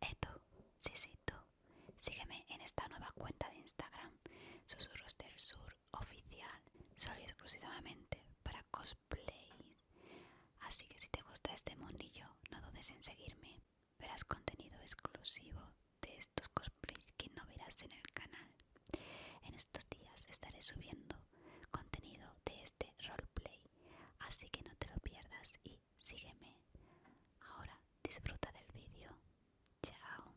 Eto, tú. sígueme en esta nueva cuenta de Instagram, Susurros del Sur Oficial, solo y exclusivamente para cosplay. Así que si te gusta este mundillo, no dudes en seguirme. Verás contenido exclusivo de estos cosplays que no verás en el canal. En estos días estaré subiendo contenido de este roleplay, así que no te lo pierdas y sígueme. Ahora disfruta del vídeo. Chao.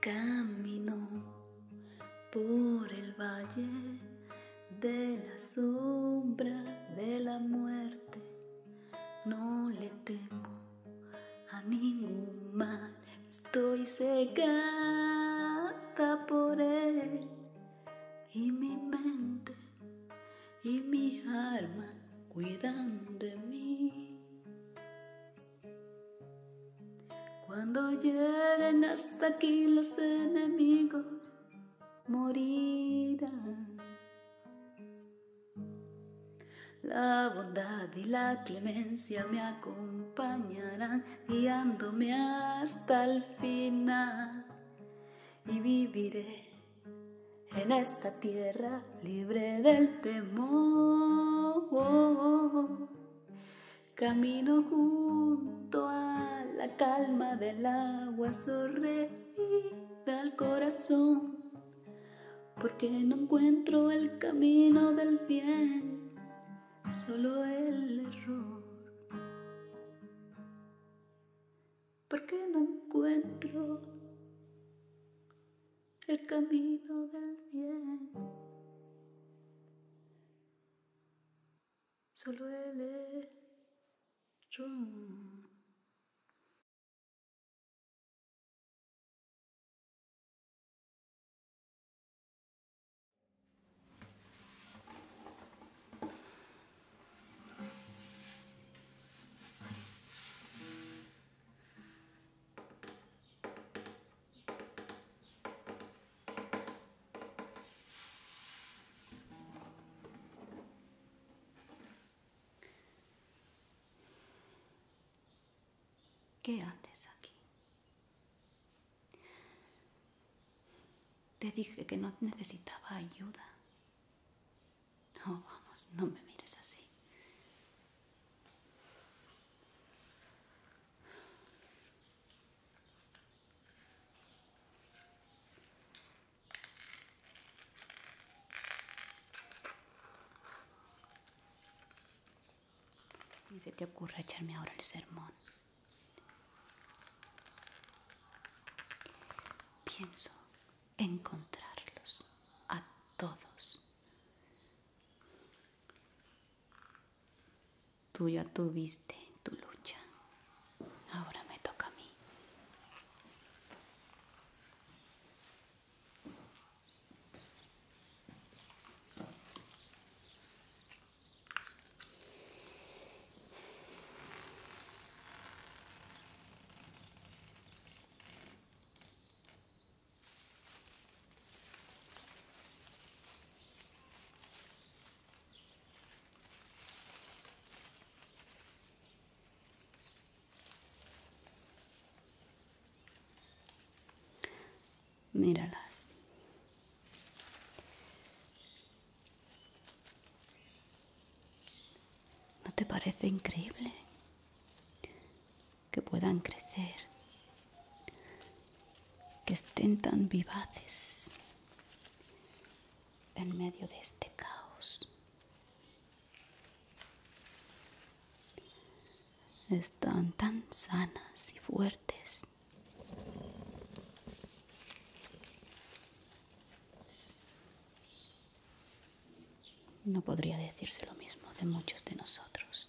Camino por el valle de la sombra de la muerte. No le temo a ningún mal. Estoy cegada por él y mi mente y mi alma cuidan de mí. Cuando lleguen hasta aquí los enemigos morirán. La bondad y la clemencia me acompañarán guiándome hasta el final y viviré en esta tierra libre del temor. Camino junto a la calma del agua, y al corazón, porque no encuentro el camino del bien, solo el error. Porque no encuentro el camino del bien. Solo él es ¿Qué haces aquí? Te dije que no necesitaba ayuda. No, vamos, no me mires así. Y se te ocurre echarme ahora el sermón. Pienso encontrarlos a todos. Tú ya tuviste tu lucha, ahora me toca a mí. Míralas. ¿No te parece increíble? Que puedan crecer, que estén tan vivaces en medio de este caos. Están tan sanas y fuertes. No podría decirse lo mismo de muchos de nosotros.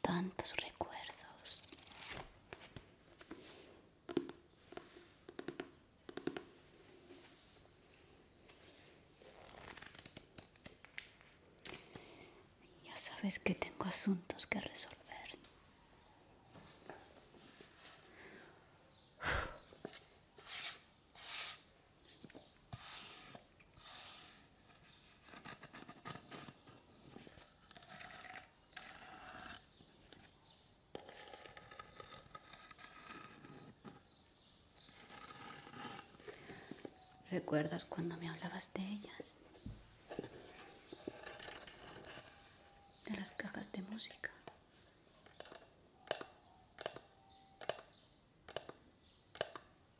tantos recuerdos. Ya sabes que tengo asuntos que resolver. ¿Recuerdas cuando me hablabas de ellas? De las cajas de música.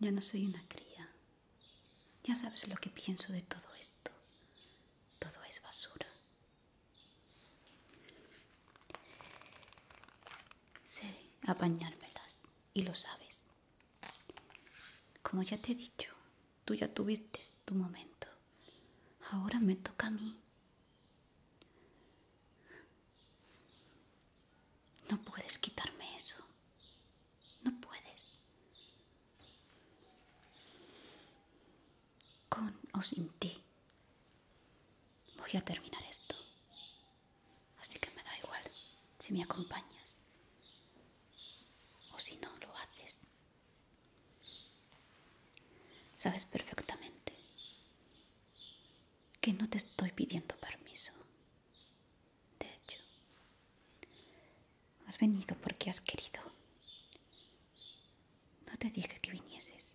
Ya no soy una cría. Ya sabes lo que pienso de todo esto. Todo es basura. Sé apañármelas y lo sabes. Como ya te he dicho, tú ya tuviste tu momento. Ahora me toca a mí. No puedes quitarme eso. No puedes. Con o sin ti. Voy a terminar esto. Así que me da igual si me acompañas. O si no, lo haces. Sabes perfectamente que no te estoy pidiendo permiso. De hecho, Has venido porque has querido. No te dije que vinieses.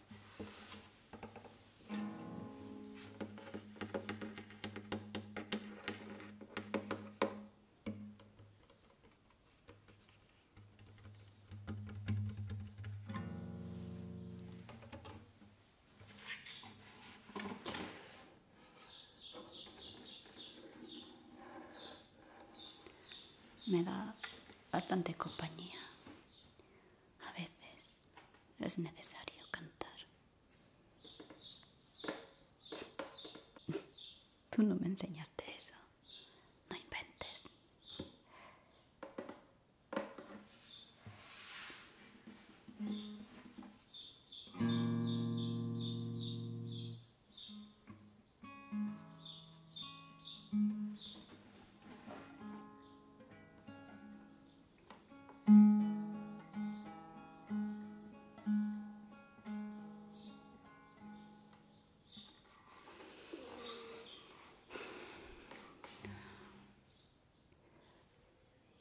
me da bastante compañía. A veces es necesario cantar. Tú no me enseñaste eso. No inventes.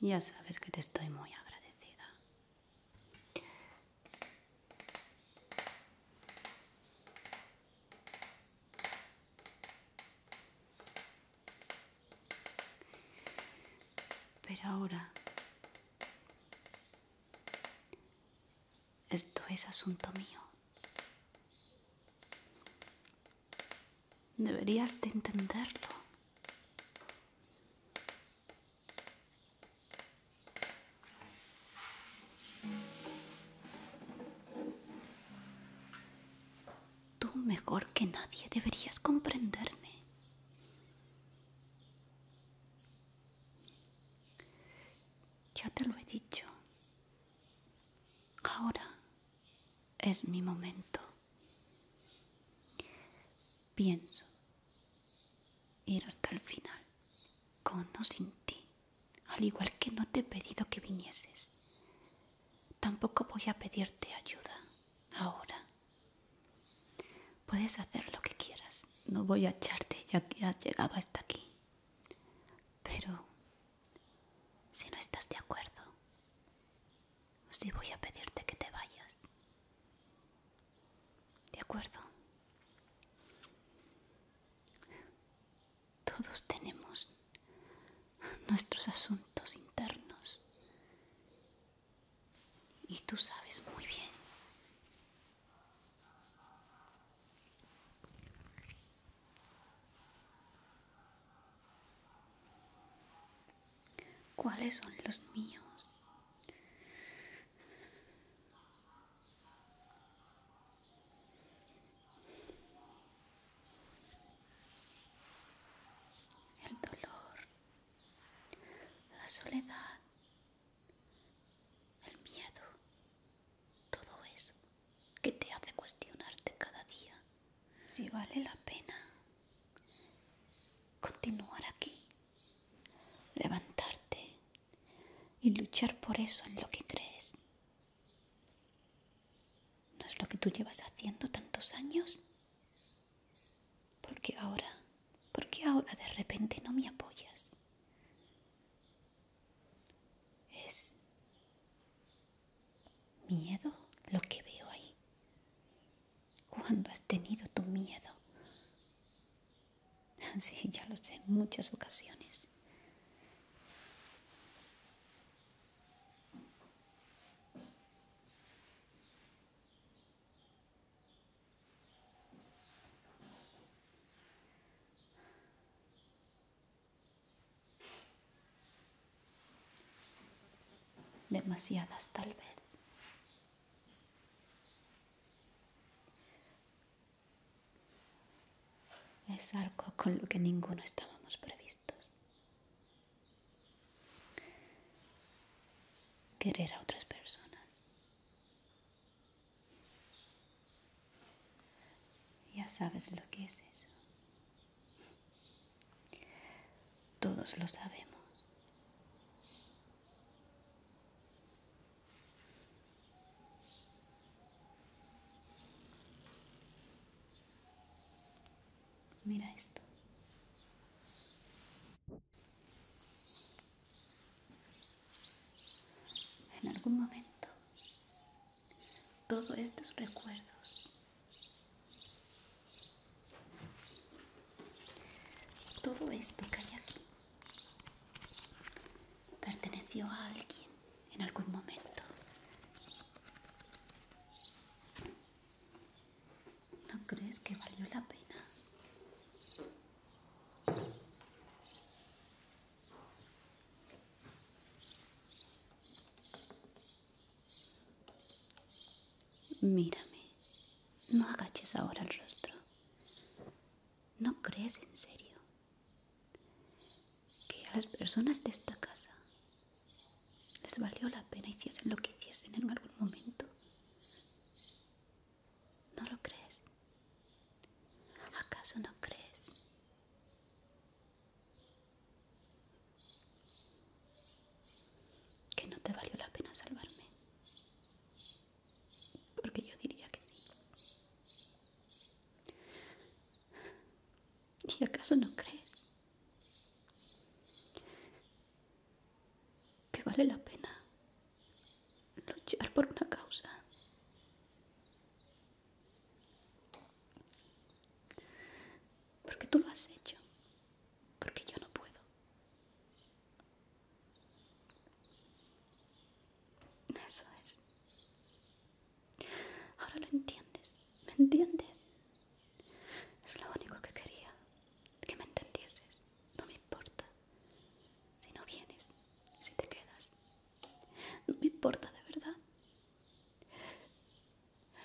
Ya sabes que te estoy muy agradecida. Pero ahora, esto es asunto mío. Deberías de entenderlo. Tú mejor que nadie deberías comprenderme. Ya te lo he dicho. Ahora es mi momento. Pienso ir hasta el final, con o sin ti al igual que no te he pedido que vinieses, tampoco voy a pedirte ayuda ahora. Puedes hacer lo que quieras, no voy a echarte ya que has llegado hasta aquí. Pero si no estás de acuerdo, si voy a pedirte que te vayas. ¿De acuerdo? Todos tenemos nuestros asuntos internos. Y tú sabes muy bien. ¿Cuáles son los míos? El dolor, la soledad, el miedo, todo eso que te hace cuestionarte cada día si vale la pena continuar aquí, levantarte y luchar por eso en lo que crees. ¿No es lo que tú llevas haciendo tantos años? porque ahora? ¿Por ahora de repente no me apoyas? Es miedo lo que veo ahí. cuando has tenido tu miedo? Sí, ya lo sé, en muchas ocasiones. demasiadas tal vez. Es algo con lo que ninguno estábamos previstos. Querer a otras personas. Ya sabes lo que es eso. Todos lo sabemos. Mira esto. En algún momento, todos estos recuerdos, todo esto que hay aquí, Perteneció a alguien en algún momento. ¿No crees que valió la pena? Mírame, no agaches ahora el rostro. ¿No crees en serio que a las personas de esta casa les valió la pena hiciesen lo que hiciesen en algún momento. ¿No lo crees? ¿Acaso no crees? Que no te valió la pena salvarme. Porque yo diría que sí. ¿Y acaso no crees que vale la pena luchar por una causa? Porque tú lo has hecho. Porque yo no puedo. Eso es. Ahora lo entiendes, ¿me entiendes? Es lo único que quería, que me entendieses. No me importa si no vienes, si te quedas. No me importa de verdad.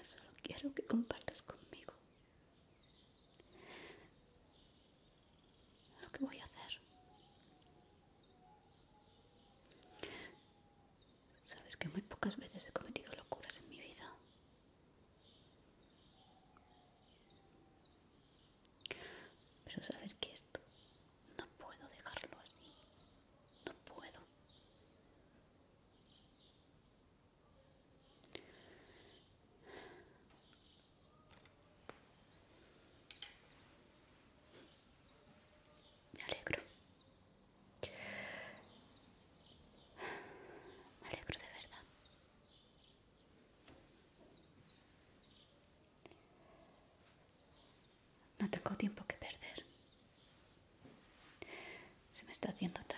Solo quiero que compartas conmigo lo que voy a hacer. Sabes que muy pocas veces he cometido locuras en mi vida. Pero sabes que esto no puedo dejarlo así. No puedo. Me alegro. Me alegro de verdad. No tengo tiempo que perder. Se me está haciendo tarde.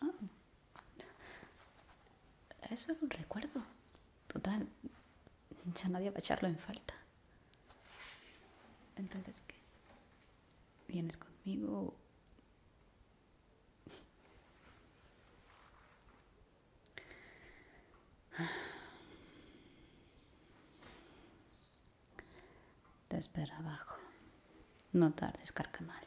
Ah, eso es un recuerdo. Total, ya nadie va a echarlo en falta. Entonces, ¿qué? ¿Vienes conmigo? Te espera abajo. No tardes, carcamal.